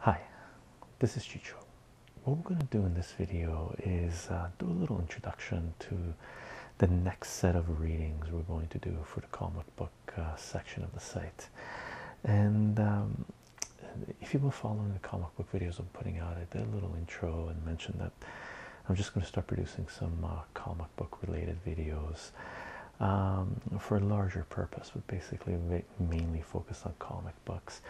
Hi, this is Chicho. What we're going to do in this video is uh, do a little introduction to the next set of readings we're going to do for the comic book uh, section of the site. And um, if you've been following the comic book videos I'm putting out, I did a little intro and mentioned that I'm just going to start producing some uh, comic book related videos um, for a larger purpose, but basically mainly focused on comic books.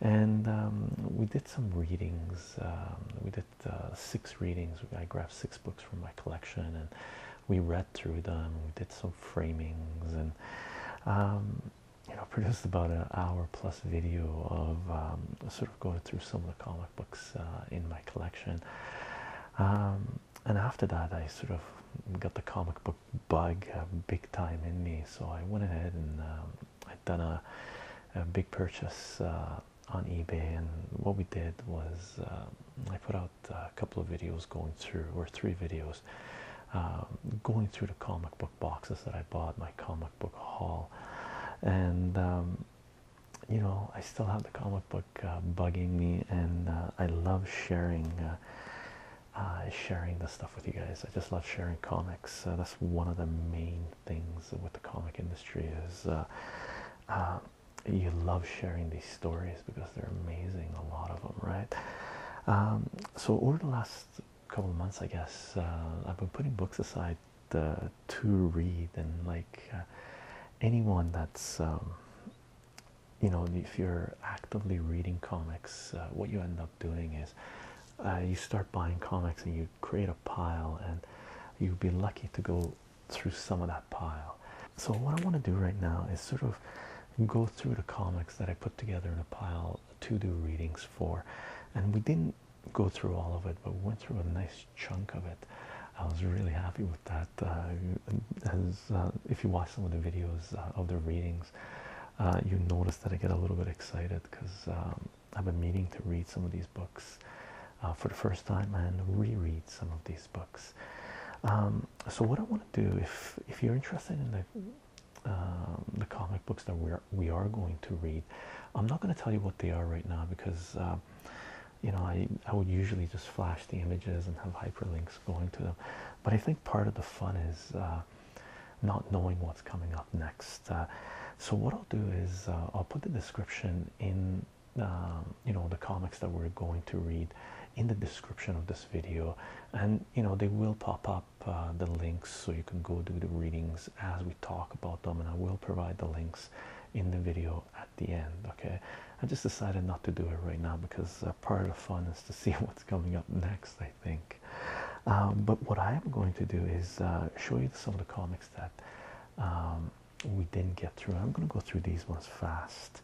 And um, we did some readings. Um, we did uh, six readings. I grabbed six books from my collection, and we read through them. We did some framings, and you know, produced about an hour plus video of um, sort Go through some of the comic books uh, in my collection. Um, and after that, I sort of got the comic book bug uh, big time in me. So I went ahead and um, i done a, a big purchase uh, on eBay. And what we did was uh, I put out a couple of videos going through, or three videos, um, going through the comic book boxes that I bought, my comic book haul. And you know, I still have the comic book uh, bugging me, and uh, I love sharing uh, uh sharing this stuff with you guys. I just love sharing comics. that's one of the main things with the comic industry is you love sharing these stories because they're amazing. A lot of them, right? Um, so over the last couple of months, I guess I've been putting books aside uh, to read and like uh, anyone that's um, you know if you're actively reading comics uh, what you end up doing is uh, you start buying comics and you create a pile and you would be lucky to go through some of that pile so what i want to do right now is sort of go through the comics that i put together in a pile to do readings for and we didn't go through all of it, but went through a nice chunk of it. I was really happy with that. Uh, as uh, if you watch some of the videos uh, of the readings, you notice that I get a little bit excited because um, I've been meaning to read some of these books for the first time and reread some of these books. Um, so what I want to do, if if you're interested in the um, the comic books that we are we are going to read, I'm not going to tell you what they are right now because you know, I, I would usually just flash the images and have hyperlinks going to them. But I think part of the fun is uh, not knowing what's coming up next. Uh, so what I'll do is uh, I'll put the description in, um, you know, the comics that we're going to read in the description of this video. And, you know, they will pop up the links so you can go do the readings as we talk about them. And I will provide the links in the video at the end. Okay, I just decided not to do it right now because uh, part of the fun is to see what's coming up next, I think. Um, but what I am going to do is uh, show you some of the comics that um, we didn't get through. I'm going to go through these ones fast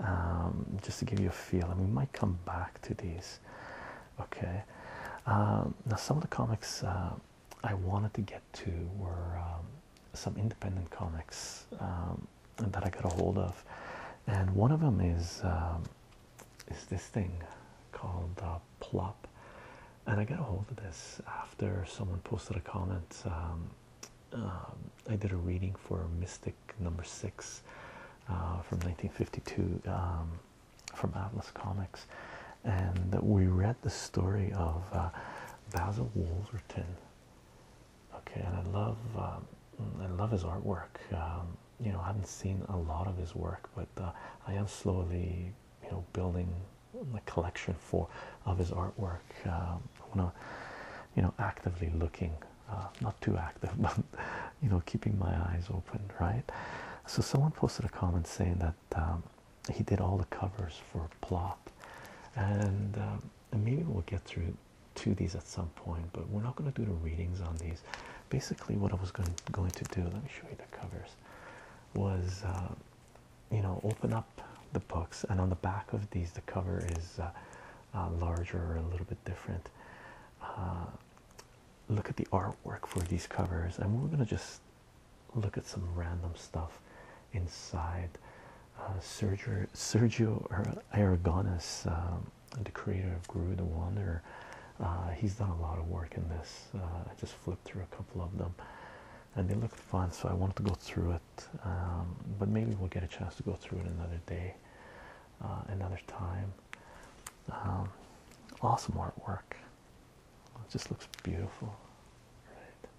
um, just to give you a feel, and we might come back to these. Okay, now some of the comics. Uh, I wanted to get to were um, some independent comics um, that I got a hold of, and one of them is um, is this thing called uh, Plop, and I got a hold of this after someone posted a comment. I did a reading for Mystic Number Six uh, from 1952 from Atlas Comics, and we read the story of uh, Basil Wolverton. Okay, and I love um, I love his artwork. Um, you know, I haven't seen a lot of his work, but uh, I am slowly you know building a collection for of his artwork. Um, I want you know actively looking, uh, not too active, but you know keeping my eyes open, right? So someone posted a comment saying that he did all the covers for Plop, um, and, maybe we'll get through to these at some point. But we're not going to do the readings on these. Basically, what I was going to do, let me show you the covers, was uh, you know open up the books, and on the back of these, the cover is uh, uh, larger or a little bit different. look at the artwork for these covers, and we're going to just look at some random stuff inside uh, Sergio, Sergio Aragonis, um, the creator of Guru the Wanderer. Uh, he's done a lot of work in this. Uh, I just flipped through a couple of them and they look fun, so I wanted to go through it. Um, but maybe we'll get a chance to go through it another day, uh, another time. Um, awesome work. It just looks beautiful, right?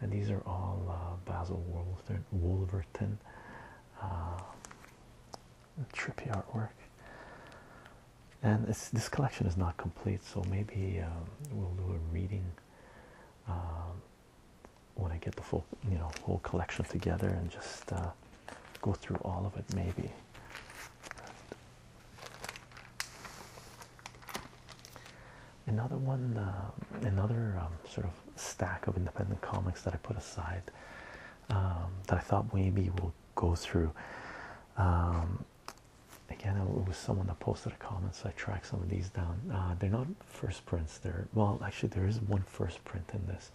And these are all uh, Basil Wolverton, Wolverton uh, trippy artwork. And it's, this collection is not complete, so maybe um, we'll do a reading um, when I get the full, you know, whole collection together and just uh, go through all of it. Maybe Another one, um, another um, sort of stack of independent comics that I put aside um, that I thought maybe we'll go through. again, it was someone that posted a comment, so I tracked some of these down. Uh, they're not first prints. There, well, actually, there is one first print in this,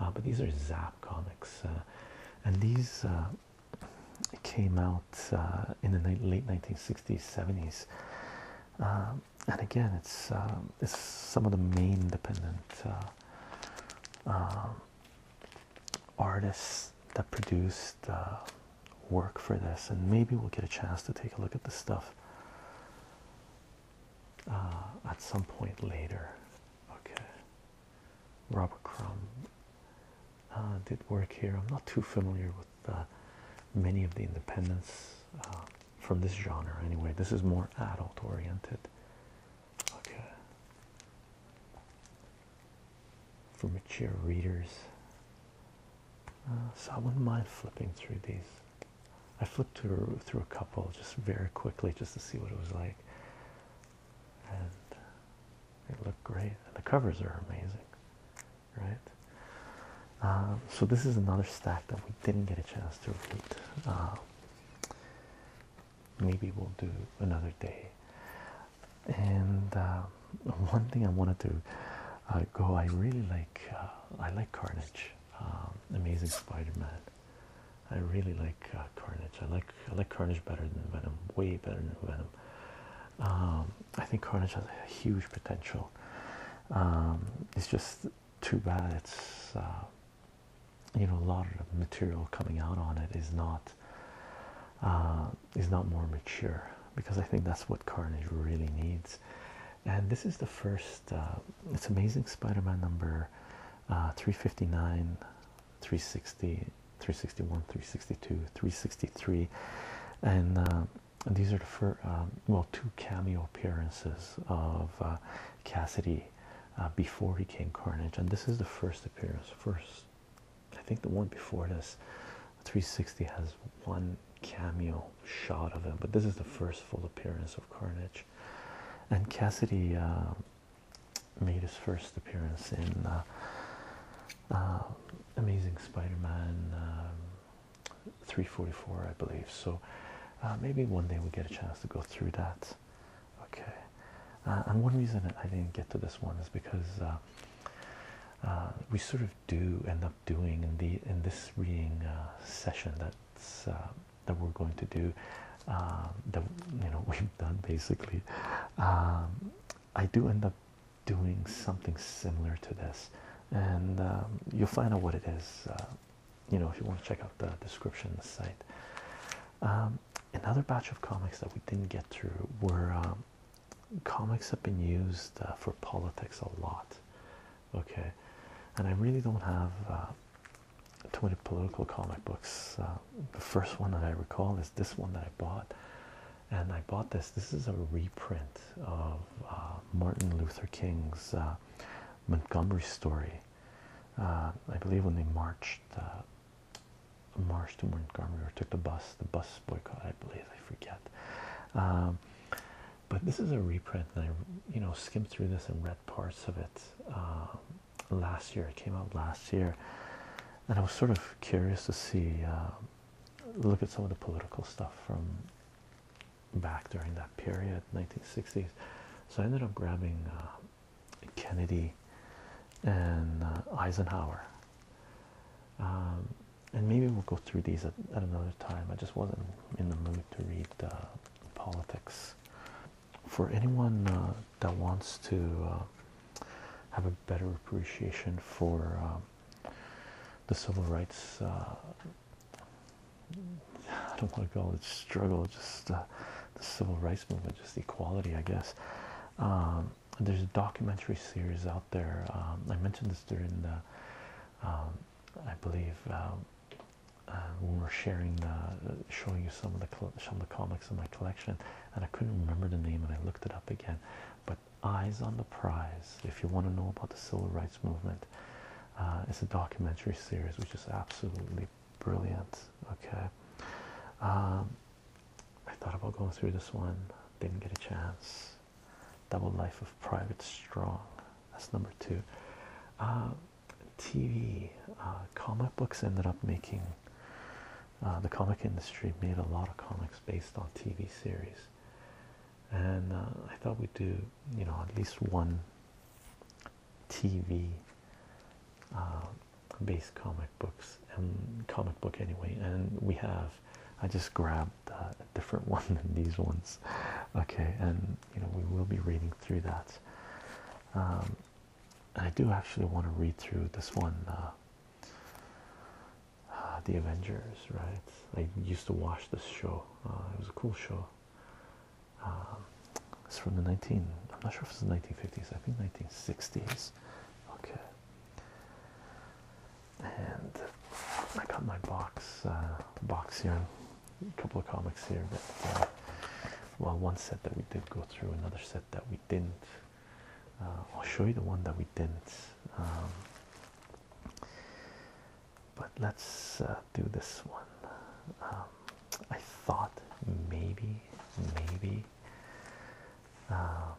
uh, but these are Zap comics, uh, and these came out uh, in the late 1960s 70s um, and again it's um, it's some of the main independent uh, um, artists that produced uh, work for this and maybe we'll get a chance to take a look at this stuff at some point later okay Robert Crumb uh, did work here. I'm not too familiar with uh, many of the independents uh, from this genre anyway. This is more adult oriented. Okay. For mature readers. Uh, so I wouldn't mind flipping through these. I flipped through, through a couple just very quickly just to see what it was like. They look great, and the covers are amazing, right? Um, so this is another stack that we didn't get a chance to read. Um, maybe we'll do another day. And um, one thing I wanted to uh, go, I really like, uh, I like Carnage, Amazing Spider-Man. I really like uh, Carnage. I like I like Carnage better than Venom, way better than Venom. Um, I think Carnage has a huge potential. Um, it's just too bad it's uh, you know a lot of material coming out on it is not uh, is not more mature because I think that's what Carnage really needs. And this is the first. Uh, it's Amazing Spider-Man number 359 360 361 362 363 um, and these are the first um, well two cameo appearances of uh, Cassidy uh, before he came Carnage and this is the first appearance first I think the one before this 360 has one cameo shot of him but this is the first full appearance of Carnage and Cassidy um, made his first appearance in uh, uh, Amazing Spider-Man um, 344, I believe. So uh, maybe one day we get a chance to go through that. Okay. and one reason I didn't get to this one is because we sort of do end up doing in the in this reading session that's that we're going to do um, that you know we've done basically. Um, I do end up doing something similar to this, and um, you'll find out what it is. Uh, you know, if you want to check out the description of the site. Um, another batch of comics that we didn't get through were um, comics have been used uh, for politics a lot. Okay, and I really don't have. Uh, 20 political comic books. Uh, the first one that I recall is this one that I bought and I bought this. This is a reprint of uh, Martin Luther King's uh, Montgomery story. Uh, I believe when they marched, marched to Montgomery or took the bus, the bus boycott. I believe I forget. Um, but this is a reprint, and I, you know, skimmed through this and read parts of it um, last year. It came out last year, and I was sort of curious to see, uh, look at some of the political stuff from back during that period, 1960s. So I ended up grabbing uh, Kennedy and uh, Eisenhower. Um, and maybe we'll go through these at, another time. I just wasn't in the mood to read politics. For anyone that wants to uh, have a better appreciation for um, the civil rights. Uh, I don't want to call it struggle, just the civil rights movement, just equality, I guess. Um, there's a documentary series out there. Um, I mentioned this during the, I believe, uh, when we we're sharing the, showing you some of the some of the comics in my collection and I couldn't remember the name, and I looked it up again. But Eyes on the Prize, if you want to know about the civil rights movement, uh, it's a documentary series which is absolutely brilliant. Okay, um, I thought about going through this one, didn't get a chance. Double Life of Private Strong, that's number two. Uh, TV, uh, comic books ended up making uh, the comic industry made a lot of comics based on TV series, and uh, I thought we'd do, you know, at least one TV uh, based comic books comic book anyway. And we have, I just grabbed a different one than these ones, okay. And you know, we will be reading through that. Um, I do actually want to read through this one. Ah, the Avengers, right? I used to watch this show. Ah, it was a cool show. Um, it's from the 19. I'm not sure if it's the 1950s. I think 1960s. Okay. And I got my box uh, box here, a couple of comics here. but uh, well, one set that we did go through, another set that we didn't. Uh, I'll show you the one that we didn't. Um, but let's uh, do this one. Um, I thought maybe, maybe um,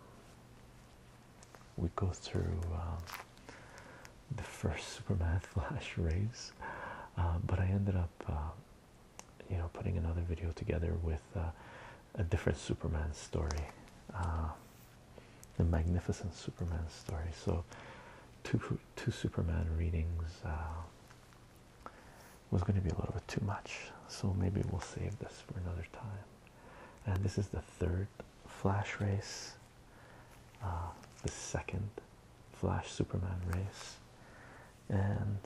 we go through the first Superman Flash race, uh, but I ended up, you know, putting another video together with a different Superman story, the uh, Magnificent Superman story. So, two two Superman readings uh, was going to be a little bit too much. So maybe we'll save this for another time. And this is the third Flash race, uh, the second Flash Superman race, and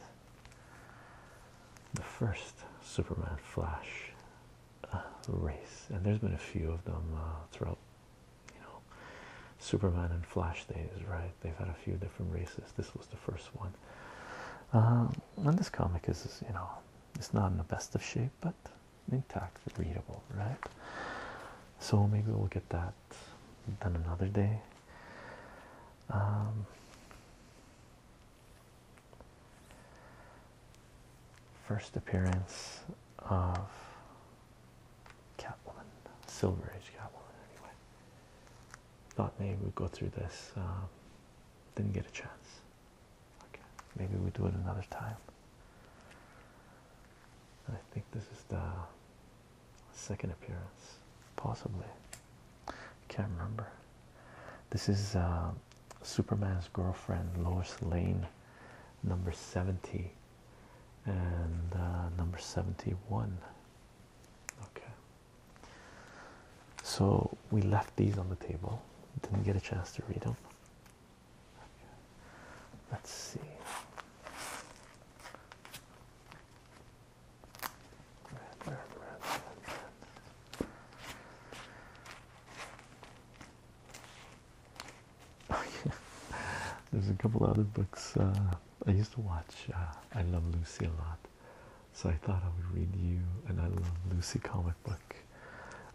the first Superman Flash uh, race, and there's been a few of them uh, throughout, you know, Superman and Flash days, right? They've had a few different races. This was the first one, um, and this comic is, you know, it's not in the best of shape, but intact, readable, right? So maybe we'll get that done another day. Um, First appearance of Catwoman, Silver Age Catwoman, anyway. Thought maybe we'd go through this. Um, didn't get a chance. maybe we do it another time. I think this is the second appearance, possibly. I can't remember. This is uh, Superman's girlfriend Lois Lane, number 70 and uh, number 71. Okay, so we left these on the table, didn't get a chance to read them. Let's see. There's a couple other books uh, I used to watch. Uh, I love Lucy a lot, so I thought I would read you an I Lucy comic book,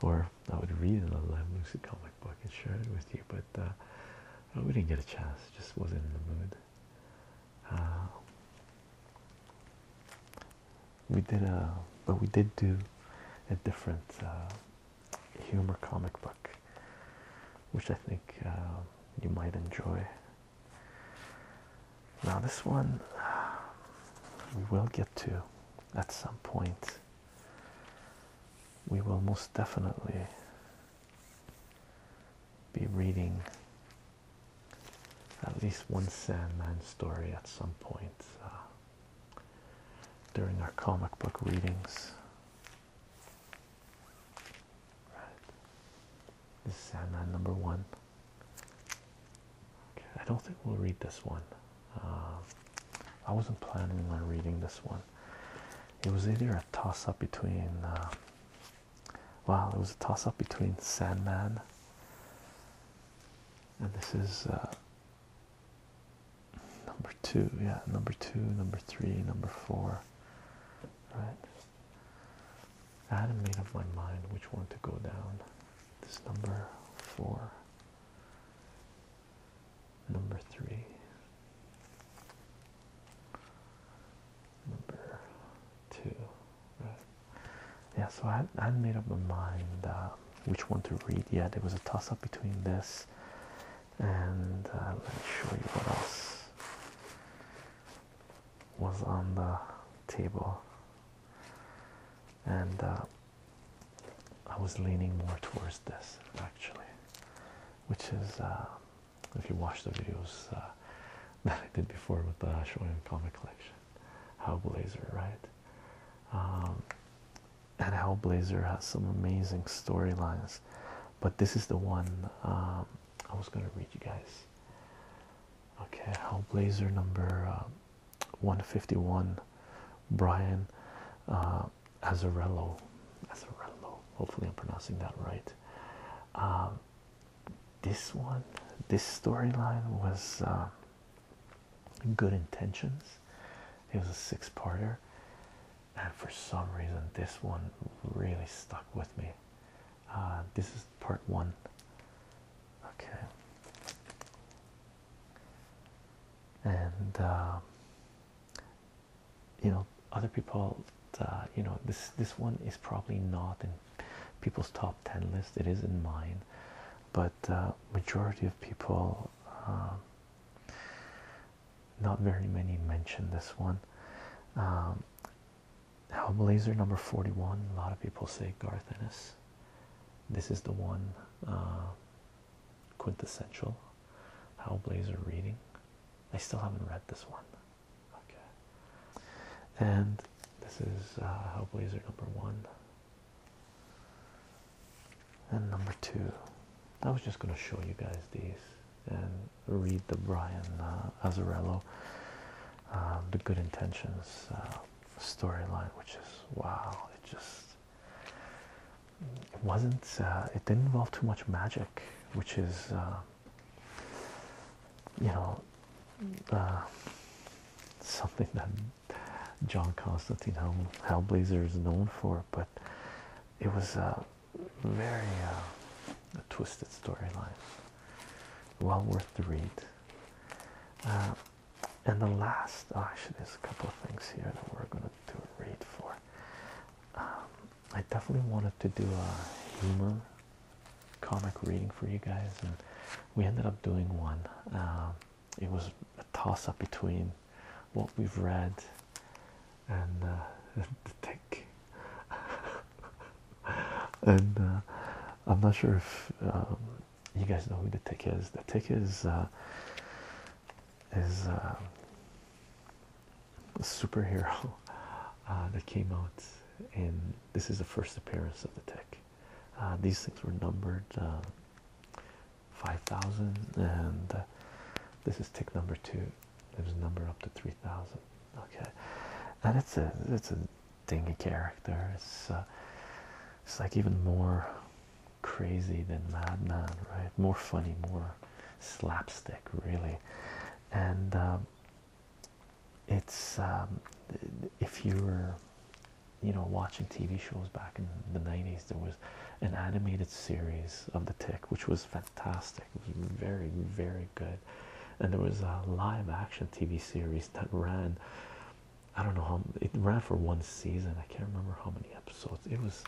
or I would read an I Lucy comic book and share it with you. But uh, we didn't get a chance; just wasn't in the mood we did a uh, but we did do a different uh, humor comic book which I think uh, you might enjoy now this one we will get to at some point we will most definitely be reading at least one Sandman story at some point uh, during our comic book readings. Right. This is Sandman number one. Okay, I don't think we'll read this one. Uh, I wasn't planning on reading this one. It was either a toss up between uh, Wow, it was a toss up between Sandman and this is uh, number two. Yeah, number two, number three, number four. Right. I hadn't made up my mind which one to go down. This number four, number three number two, Yeah, so I had made up my mind uh, which one to read yet. There was a toss up between this and uh, let me show you what else was on the table. And uh, I was leaning more towards this actually, which is if you watch the videos that I did before with the Shonen comic collection, Hellblazer, right? Um, and Hellblazer has some amazing storylines, but this is the one um, I was going to read you guys. Okay, Hellblazer number uh, 151, Brian uh, Azarello. Azarello. hopefully I'm pronouncing that right. Um, this one, this storyline was um, Good Intentions. It was a six-parter, and for some reason, this one really stuck with me. Uh, this is part one. Okay. And um, you know, other people, uh, you know, this this one is probably not in people's top 10 list it is isn't mine but uh, majority of people um, not very many mention this one um, Hellblazer number 41 a lot of people say Garth Ennis this is the one uh, quintessential Hellblazer reading I still haven't read this one Okay. And this is uh, Hellblazer number one and number two. I was just going to show you guys these and read the Brian uh, um, the Good Intentions uh, storyline, which is wow. It just it wasn't. Uh, it didn't involve too much magic, which is. Uh, you know Ah, something that John Constantine Hell, Hellblazer is known for, but it was a very uh, twisted storyline, well worth the read. Uh, and the last, oh, actually, there's a couple of things here that we're going to do a read for. Um, I definitely wanted to do a humor comic reading for you guys, and we ended up doing one. Um, it was a toss up between what we've read and uh, the tick. and uh, I'm not sure if um, you guys know who the tick is. The tick is uh, is a superhero that came out in this is the first appearance of the tick. Uh, these things were numbered uh, 5,000, and uh, this is tick number two. There's a number up to 3,000. Okay, and it's a it's a dingy character. It's it's like even more crazy than Madman, right? More funny, more slapstick, really, and. Um, it's um, if you were you know watching TV shows back in the 90s there was an animated series of the tick which was fantastic it was very very good and there was a live action TV series that ran I don't know how it ran for one season I can't remember how many episodes it was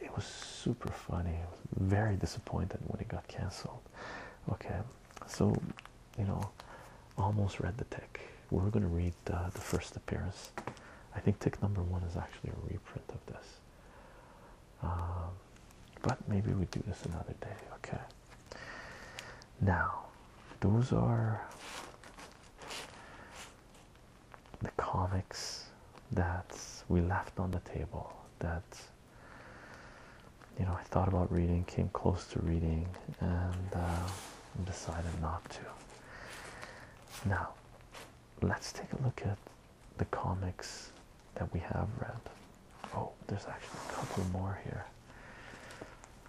it was super funny I was very disappointed when it got cancelled okay so you know almost read the tick we're going to read the first appearance i think tick number one is actually a reprint of this um, but maybe we do this another day okay now those are the comics that we left on the table that you know, I thought about reading, came close to reading, uh, and decided not to. Now, let's take a look at the comics that we have read. Oh, there's actually a couple more here.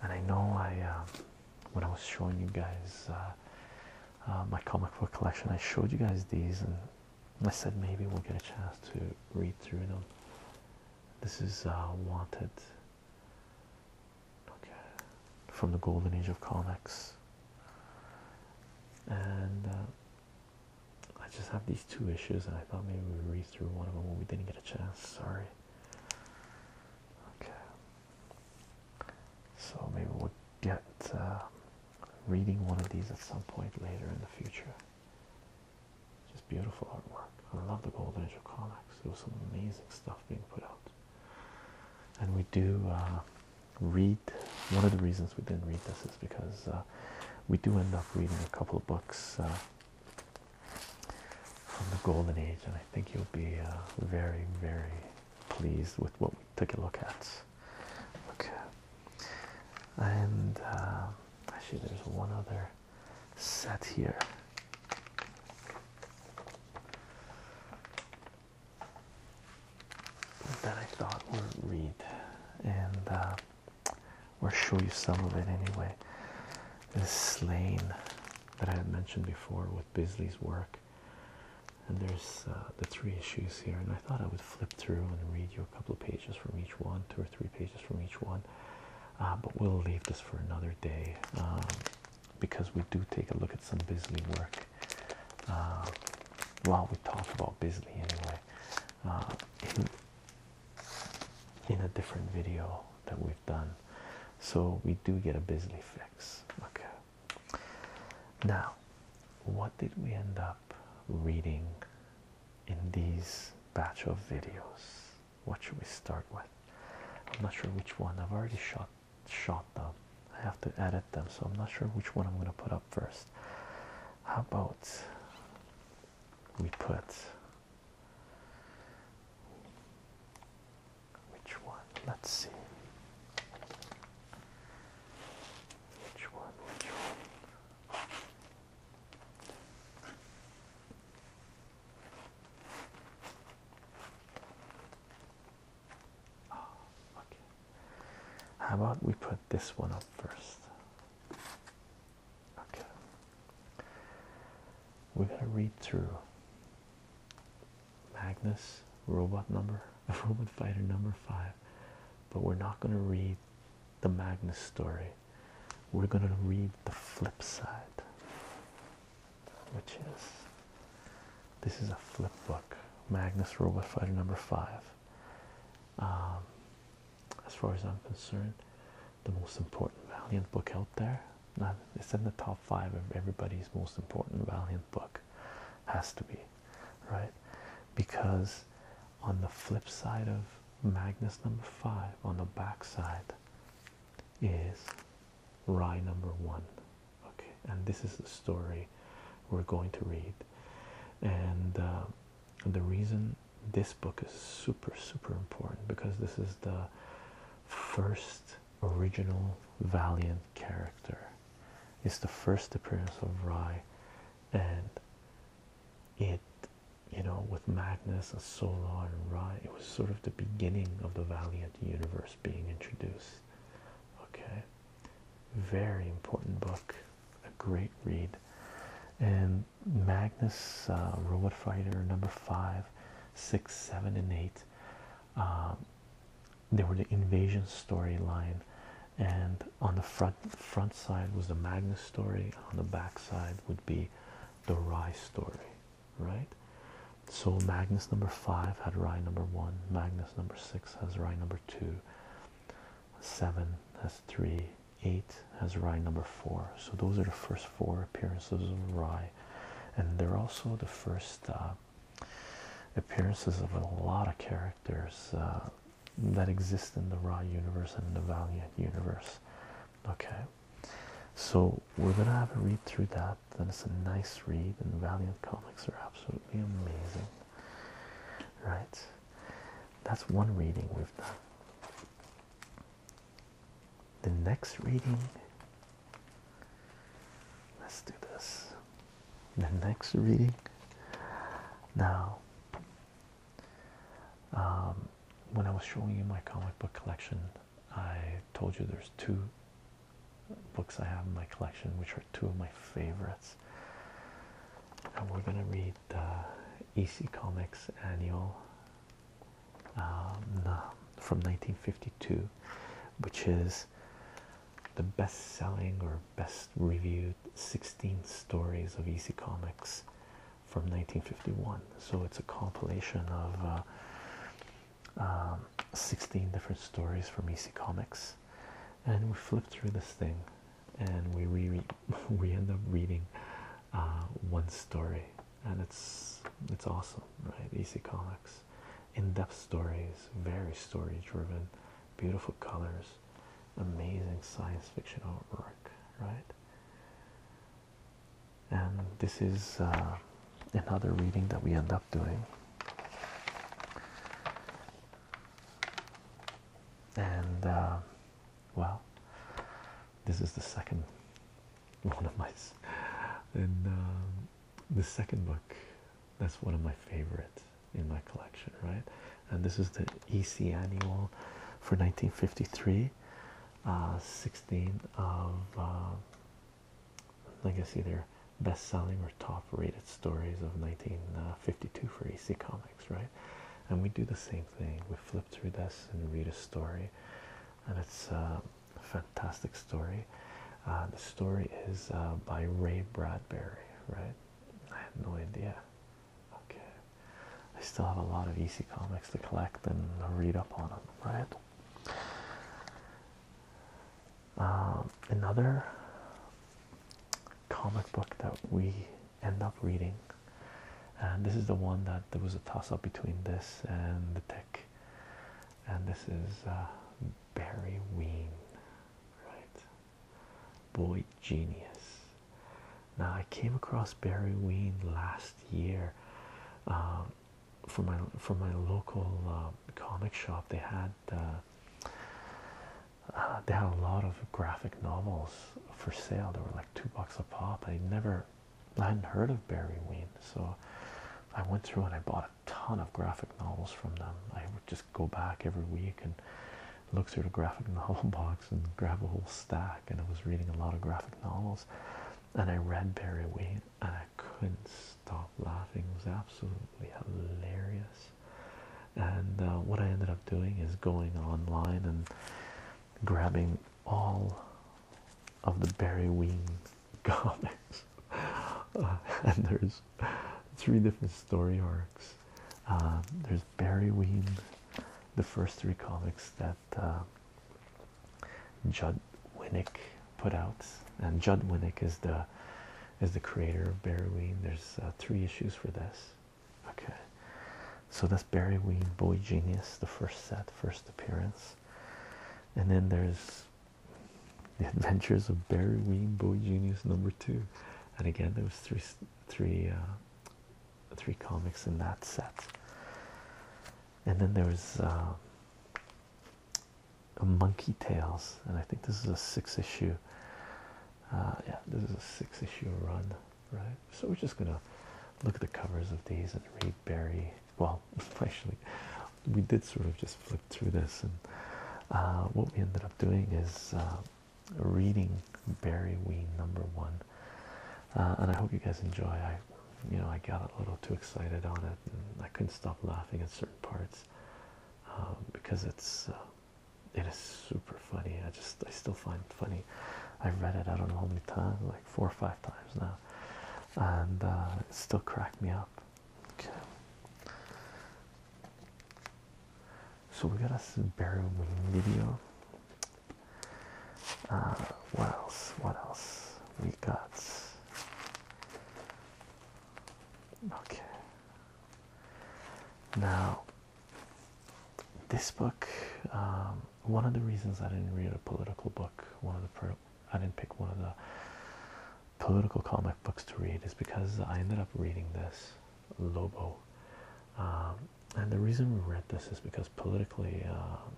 And I know I, um, when I was showing you guys uh, uh, my comic book collection, I showed you guys these and I said maybe we'll get a chance to read through them. This is uh, Wanted. Okay, from the golden age of comics. And uh, I just have these two issues, and I thought maybe we read through one of them when we didn't get a chance. Sorry. Okay. So maybe we'll get uh, reading one of these at some point later in the future. Just beautiful artwork. I love the Golden Age of comics. There was some amazing stuff being put out. And we do uh, read. One of the reasons we didn't read this is because uh, we do end up reading a couple of books uh, from the Golden Age, and I think you'll be very, very pleased with what we took a look at. Okay, and actually, there's one other set here. That I thought we'll read and uh, we'll show you some of it anyway. This slain that I had mentioned before with Bisley's work, and there's uh, the three issues here. And I thought I would flip through and read you a couple of pages from each one, two or three pages from each one, uh, but we'll leave this for another day um, because we do take a look at some Bisley work. Uh, while we talk about Bisley anyway uh, in, in a different video that we've done, so we do get a Bisley fix. Okay, now what did we end up reading in these batch of videos? What should we start with? I'm not sure which one. I've already shot shot them. I have to edit them, so I'm not sure which one I'm going to put up first. How about we put which one? Let's see. Which one? Which one? Oh, How about we put this one up first? Okay. We're gonna read through Magnus robot number, robot fighter number five, but we're not gonna read the Magnus story we're going to read the flip side, which is this is a flip book, Magnus Robot Fighter number five. Um, as far as I'm concerned, the most important Valiant book out there. it's in the top five of everybody's most important Valiant book, has to be, right? Because on the flip side of Magnus number five on the back side is Rye number one. Okay, and this is the story we're going to read. And uh, the reason this book is super, super important because this is the first original Valiant character. It's the first appearance of Rye and it you know with Magnus and Solar and Rai, it was sort of the beginning of the Valiant universe being introduced okay very important book a great read and Magnus uh, Robot Fighter number five six seven and eight um, they were the invasion storyline and on the front front side was the Magnus story on the back side would be the Rye story, right? So Magnus number five had Rye number one, Magnus number six has Rye number two, seven has three, eight has Rye number four. So those are the first four appearances of Rye, and they're also the first uh, appearances of a lot of characters uh, that exist in the Rye universe and the Valiant universe. Okay, so we're gonna have a read through that. Then it's a nice read, and Valiant comics are absolutely amazing, right? That's one reading we've done. The next reading, let's do this. The next reading now um, when I was showing you my comic book collection, I told you there's two books I have in my collection, which are two of my favorites. And we're gonna read the uh, EC Comics Annual um, from 1952, which is the best-selling or best-reviewed 16 stories of EC Comics from 1951. So it's a compilation of uh, um, 16 different stories from EC Comics, and we flip through this thing, and we re we end up reading uh, one story, and it's it's awesome, right? EC Comics, in-depth stories, very story-driven, beautiful colors, amazing science fiction artwork, right? and this is uh, another reading that we end up doing and uh, well this is the second one of my in um, the second book that's one of my favorites in my collection right and this is the EC annual for 1953 16 of like uh, I see their best selling or top rated stories of 1952 for EC Comics, right? And we do the same thing. We flip through this and read a story, and it's uh, a fantastic story. Uh, the story is by Ray Bradbury, right? I have no idea Okay, I still have a lot of EC comics to collect and read up on them, right? Um, another comic book that we end up reading, and this is the one that there was a toss up between this and the tick, and this is uh, Barry Ween, right? Boy genius. Now I came across Barry Ween last year from um, my for my local um, comic shop. They had uh, uh, they had a lot of graphic novels for sale. They were like two bucks a pop. I never I hadn't heard of Barry Ween, so I went through and I bought a ton of graphic novels from them. I would just go back every week and look through the graphic novel box and grab a whole stack. And I was reading a lot of graphic novels, and I read Barry Wayne, and I couldn't stop laughing. It was absolutely hilarious. And uh, what I ended up doing is going online and grabbing all of the Barry Wayne comics. Uh, and there's three different story arcs. Uh, there's Barry Ween, the first three comics that uh, Judd Winnick put out, and Judd Winnick is the is the creator of Barry Ween. There's uh, three issues for this. Okay, so that's Barry Ween, Boy Genius, the first set, first appearance, and then there's the Adventures of Barry Ween, Boy Genius number two, and again there was three three uh, three comics in that set. And then there was uh, a Monkey Tales, and I think this is a six issue. Uh, yeah, this is a six issue run, right? So we're just gonna look at the covers of these and read Barry. Well, actually, we did sort of just flip through this, and uh, what we ended up doing is reading Barry Ween number one, uh, and I hope you guys enjoy. I, you know, I got a little too excited on it, and I couldn't stop laughing at certain parts um, because it's uh, it is super funny. I just I still find funny. I read it I don't know how many times, like four or five times now, and uh, it still cracked me up. Okay. So we got a burial video. Uh, what else? What else? We got. Okay. Now, this book. Um, one of the reasons I didn't read a political book, one of the I didn't pick one of the political comic books to read is because I ended up reading this Lobo. Um, and the reason we read this is because politically, um,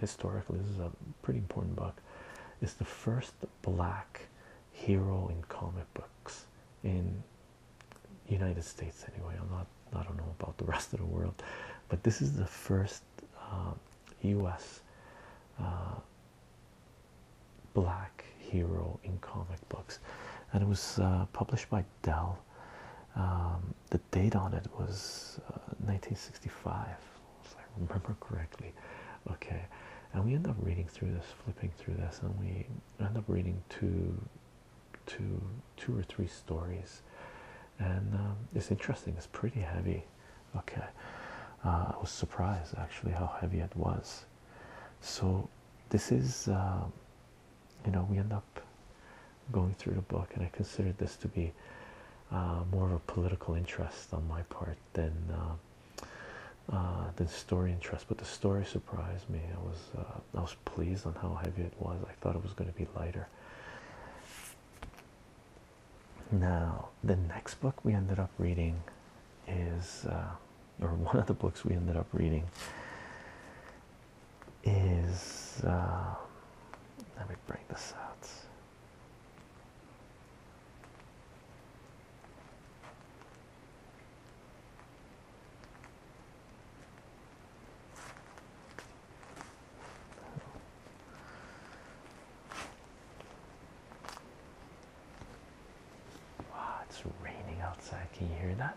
historically, this is a pretty important book. It's the first black hero in comic books in United States, anyway. I'm not, I don't know about the rest of the world, but this is the first U.S. Um, uh, black hero in comic books, and it was uh, published by Dell. Um, the date on it was 1965, uh, if I remember correctly. Okay, and we end up reading through this, flipping through this, and we end up reading two, two, two or three stories, and um, it's interesting. It's pretty heavy. Okay, uh, I was surprised actually how heavy it was. So this is um, you know we end up going through the book and i considered this to be uh, more of a political interest on my part than uh, uh, than story interest but the story surprised me i was uh, i was pleased on how heavy it was i thought it was going to be lighter now the next book we ended up reading is or one of the books we ended up reading is uh, let me bring this out. Wow, it's raining outside. Can you hear that?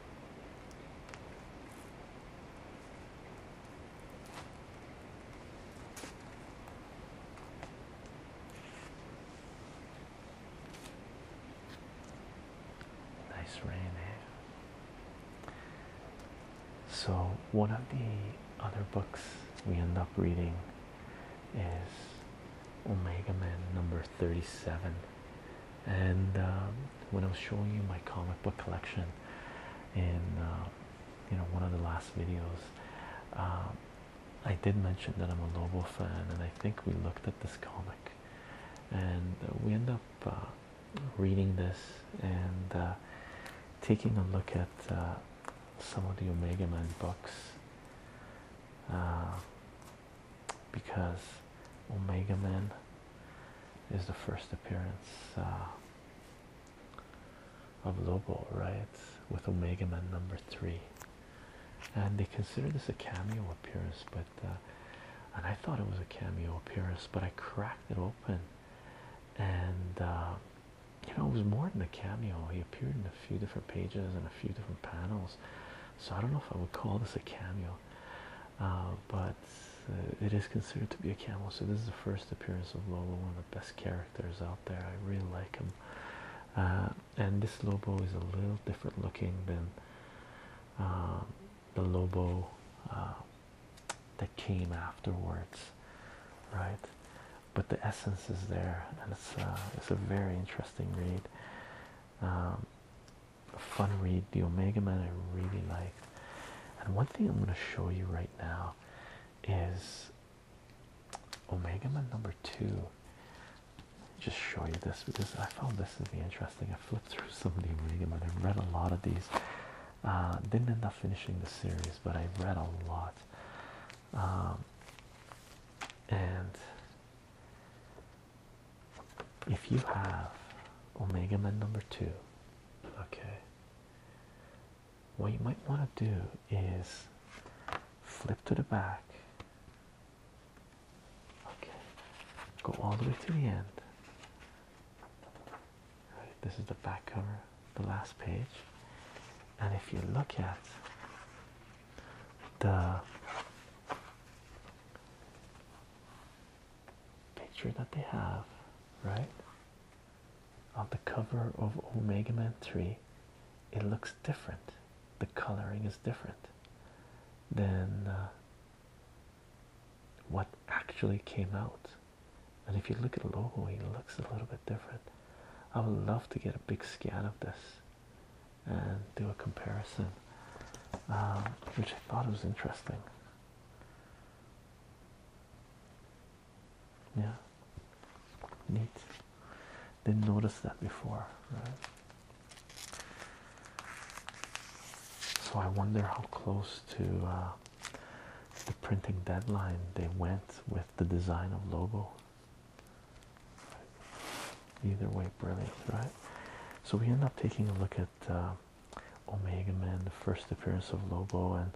Nice rain, there. Eh? So, one of the other books we end up reading is Omega Man number 37. And um, when I was showing you my comic book collection in uh, you know one of the last videos. Um, I did mention that I'm a Lobo fan, and I think we looked at this comic, and we end up uh, reading this and uh, taking a look at some of the Omega Man books because Omega Man is the first appearance uh, of Lobo, right? With Omega Man number three, and they consider this a cameo appearance, but uh, and I thought it was a cameo appearance, but I cracked it open, and uh, you know, it was more than a cameo, he appeared in a few different pages and a few different panels so I don't know if I would call this a cameo, uh, but uh, it is considered to be a cameo. So this is the first appearance of Lobo, one of the best characters out there. I really like him, uh, and this Lobo is a little different looking than um, the Lobo that came afterwards, right? But the essence is there, and it's it's a very interesting read. Um, fun read. The Omega Man I really liked. And one thing I'm going to show you right now is Omega Man number two. Just show you this because I found this to be interesting. I flipped through some of the Omega Man. I read a lot of these. Uh, didn't end up finishing the series, but I read a lot. Um, and if you have Omega Man number two, okay, what you might want to do is flip to the back, okay, go all the way to the end. this is the back cover, the last page, and if you look at the picture that they have, right? On the cover of Omega Man 3, it looks different. The coloring is different than uh, what actually came out. And if you look at the logo, it looks a little bit different. I would love to get a big scan of this and do a comparison, um, which I thought was interesting. Yeah, neat. Didn't notice that before, So I wonder how close to uh, the printing deadline they went with the design of logo. Either way, brilliant, right? So we end up taking a look at uh, Omega Man, the first appearance of Lobo, and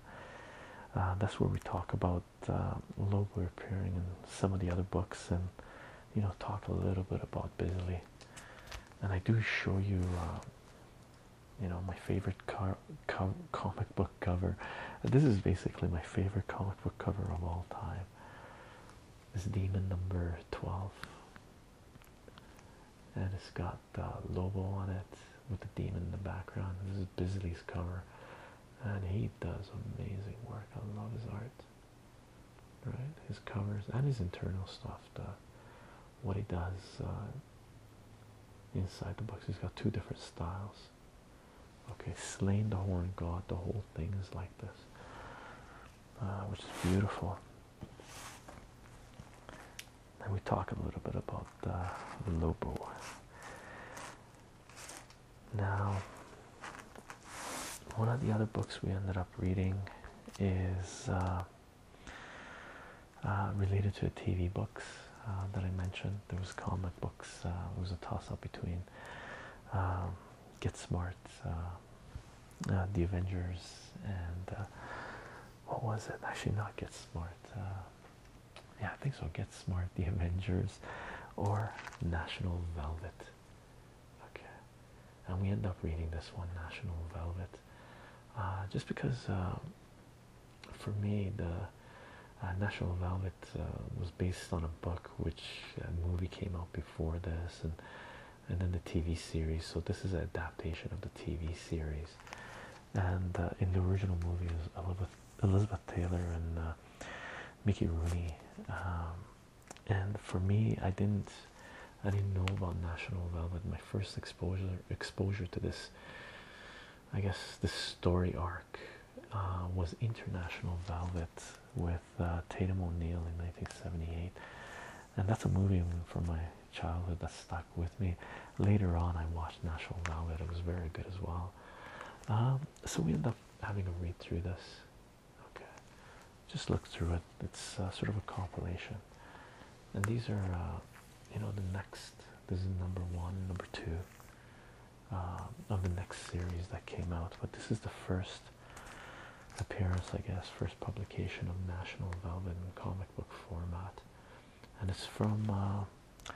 uh, that's where we talk about uh, Lobo appearing in some of the other books, and you know, talk a little bit about Bisley. And I do show you, you know, my favorite comic book cover. This is basically my favorite comic book cover of all time. This demon number twelve and it's got the logo on it with the demon in the background. This is Bisley's cover, and he does amazing work. I love his art, right? His covers and his internal stuff. what he does uh, inside the books. He's got two different styles. Okay, slain the horn god. The whole thing is like this, uh, which is beautiful. Then we talk a little bit about uh, Lobo. Now, one of the other books we ended up reading is uh, uh, related to the TV books uh, that I mentioned. There was comic books. it was a toss-up between um, Get Smart, uh, uh, The Avengers, and uh, what was it? Actually, not Get Smart. yeah, I think so. Get Smart, The Avengers, or National Velvet. Okay, and we end up reading this one, National Velvet, just because for me the National Velvet was based on a book, which a movie came out before this, and and then the TV series. So this is an adaptation of the TV series, and uh, in the original movie, Elizabeth Elizabeth Taylor and uh, Mickey Rooney. Um, and for me, I didn't, I didn't know about National Velvet. My first exposure exposure to this, I guess, this story arc, uh, was International Velvet with Tatum O'Neal in 1978 and that's a movie from my childhood that stuck with me. Later on, I watched National Velvet. It was very good as well. Um, so we end up having a read through this. Okay, just look through it. It's uh, sort of a compilation, and these are, uh, you know, the next. This is number one, number two uh, of the next series that came out. But this is the first appearance, I guess, first publication of National Velvet in comic book format, and it's from uh,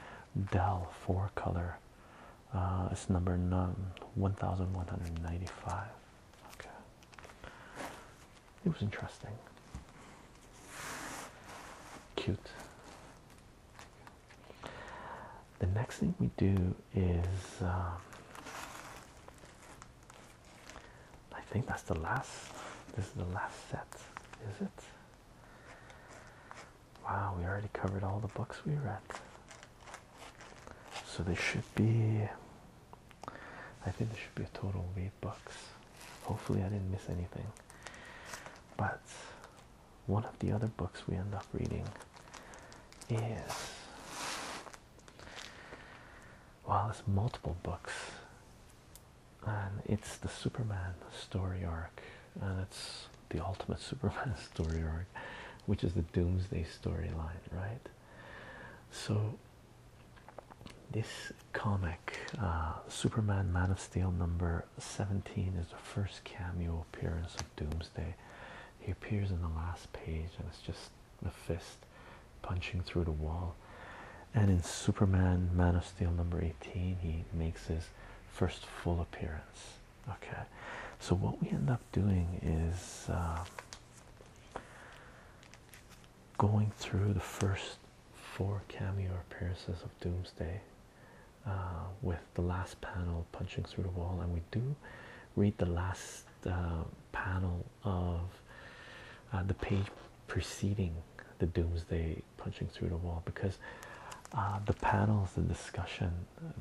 Dell Four Color. Uh, it's number one thousand one hundred ninety-five. Okay, it was interesting, cute. The next thing we do is. Um, I think that's the last. This is the last set, is it? Wow, we already covered all the books we read. So there should be, I think there should be a total of eight books. Hopefully, I didn't miss anything. But one of the other books we end up reading is well, it's multiple books, and it's the Superman story arc, and it's the ultimate Superman story arc, which is the Doomsday storyline, right? So, this comic, uh, Superman Man of Steel number 17, is the first cameo appearance of Doomsday he appears in the last page, and it's just the fist punching through the wall. And in Superman Man of Steel number 18, he makes his first full appearance. Okay, so what we end up doing is um, going through the first four cameo appearances of Doomsday. Uh, with the last panel punching through the wall, and we do read the last uh, panel of uh, the page preceding the doomsday punching through the wall because uh, the panels, the discussion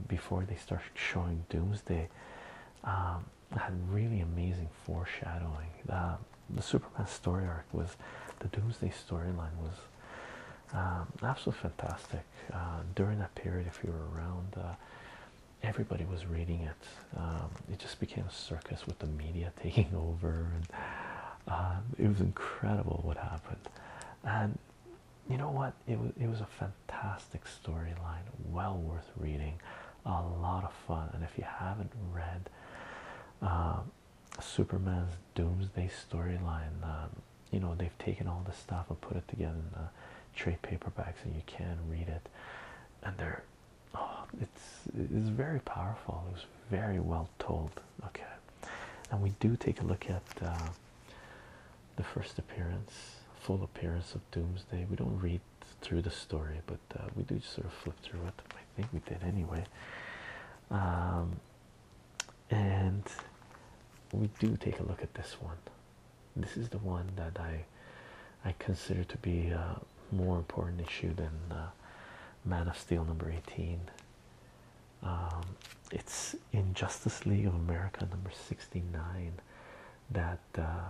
before they start showing doomsday um, had really amazing foreshadowing. the Superman story arc was the doomsday storyline was um, absolutely fantastic uh, during that period. If you were around, everybody was reading it. Um, it just became a circus with the media taking over, and um, it was incredible what happened. And you know what? It was it was a fantastic storyline, well worth reading, a lot of fun. And if you haven't read um, Superman's Doomsday storyline, you know they've taken all this stuff and put it together trade paperbacks and you can read it and they're oh, it's it's very powerful it's very well told okay and we do take a look at uh, the first appearance full appearance of doomsday we don't read through the story but uh, we do sort of flip through it i think we did anyway um, and we do take a look at this one this is the one that I I consider to be a more important issue than uh, Man of Steel number 18. Um, it's in Justice League of America number 69 that uh,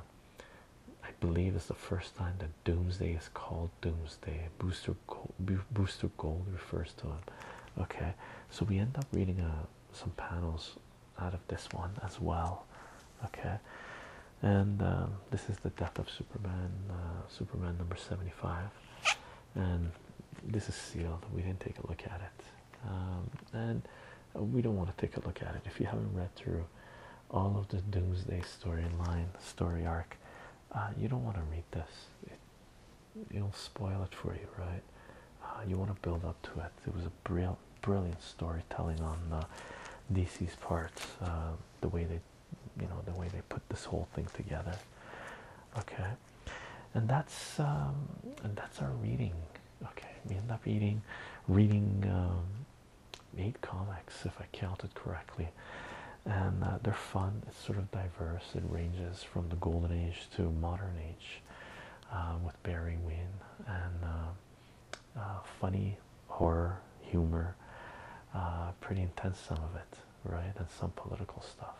I believe is the first time that Doomsday is called Doomsday. Booster Gold, Booster Gold refers to him. Okay, so we end up reading a some panels out of this one as well okay and um, this is the death of superman uh, superman number 75 and this is sealed we didn't take a look at it um, and we don't want to take a look at it if you haven't read through all of the doomsday storyline story arc uh, you don't want to read this it, will spoil it for you right uh, you want to build up to it it was a brilliant brilliant storytelling on uh, DC's parts. Uh, the way they, you know, the way they put this whole thing together. Okay, and that's um, and that's our reading. Okay, we end up reading, reading um, eight comics if I counted correctly, and uh, they're fun. It's sort of diverse. It ranges from the Golden Age to Modern Age. with Barry Wynn and um, uh, funny horror humor uh, pretty intense some of it right and some political stuff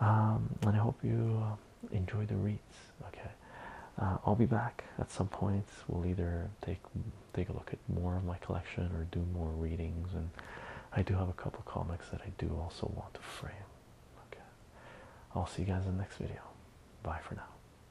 um, and I hope you uh, enjoy the reads okay I'll be back at some point we'll either take take a look at more of my collection or do more readings and I do have a couple comics that I do also want to frame okay I'll see you guys in the next video bye for now